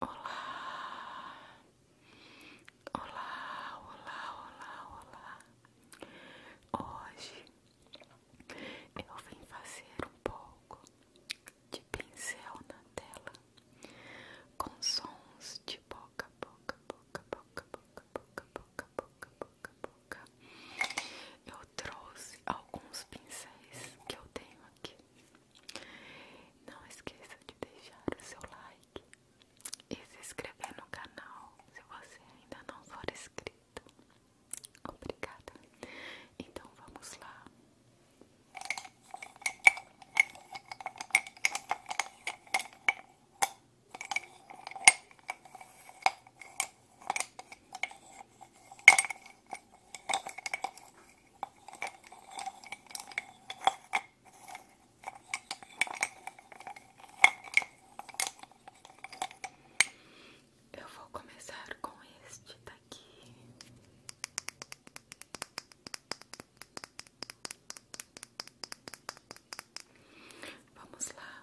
Olá, olá, olá, olá, olá. Hoje eu vim fazer um pouco de pincel na tela com sons de boca, boca, boca, boca, boca, boca, boca, boca, boca, boca. Eu trouxe alguns pincéis que eu tenho aqui. Não esqueça de deixar o seu like e se inscrever no canal se você ainda não for inscrito. Obrigada. Então vamos lá. Eu vou começar com este daqui. Vamos lá.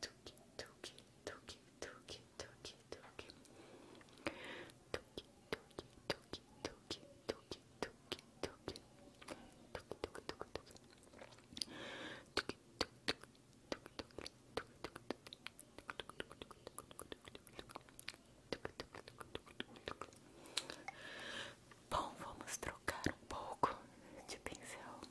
tuque, tuque, tuque, tuque, tuque, tuque, tuque, tuque, tuque, tuque, tuque, tuque, tuque, tuque, tuque, Bom, vamos trocar um pouco de pincel.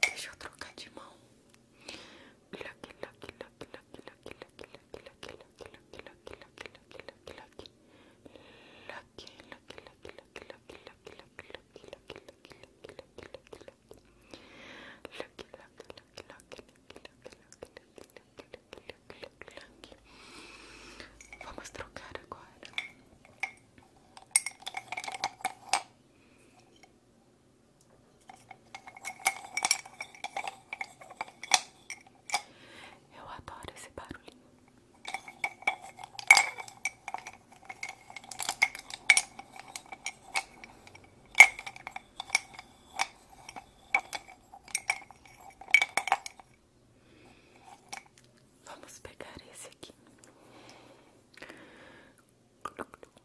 Deixa eu trocar de mão. Olha aqui, olha aqui, olha aqui, olha aqui, olha aqui, olha aqui, olha aqui, olha aqui, olha aqui, olha aqui, olha aqui, olha aqui, olha aqui, olha aqui, olha aqui, olha aqui, olha aqui, olha aqui, olha aqui, olha Vamos trocar agora. Eu adoro esse barulhinho. Vamos pegar esse aqui.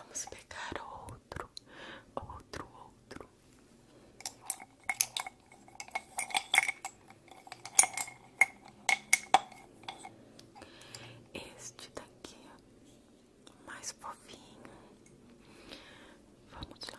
Vamos pegar outro, outro, outro. Este daqui, é mais fofinho. Vamos lá.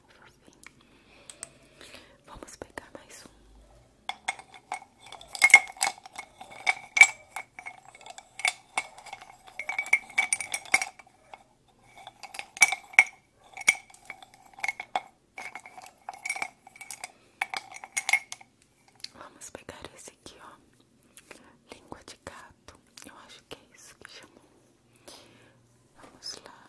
por fim. Vamos pegar mais um. Vamos pegar esse aqui, ó. Língua de gato. Eu acho que é isso que chamou. Vamos lá.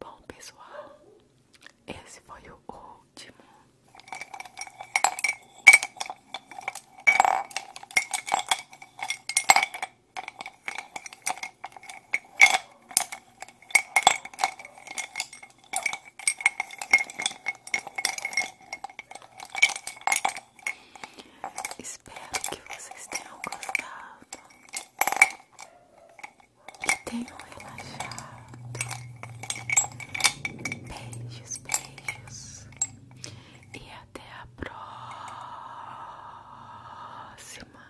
Bom, pessoal, esse foi o último. Espero que vocês tenham gostado, que tenham relaxado. Beijos, beijos e até a próxima.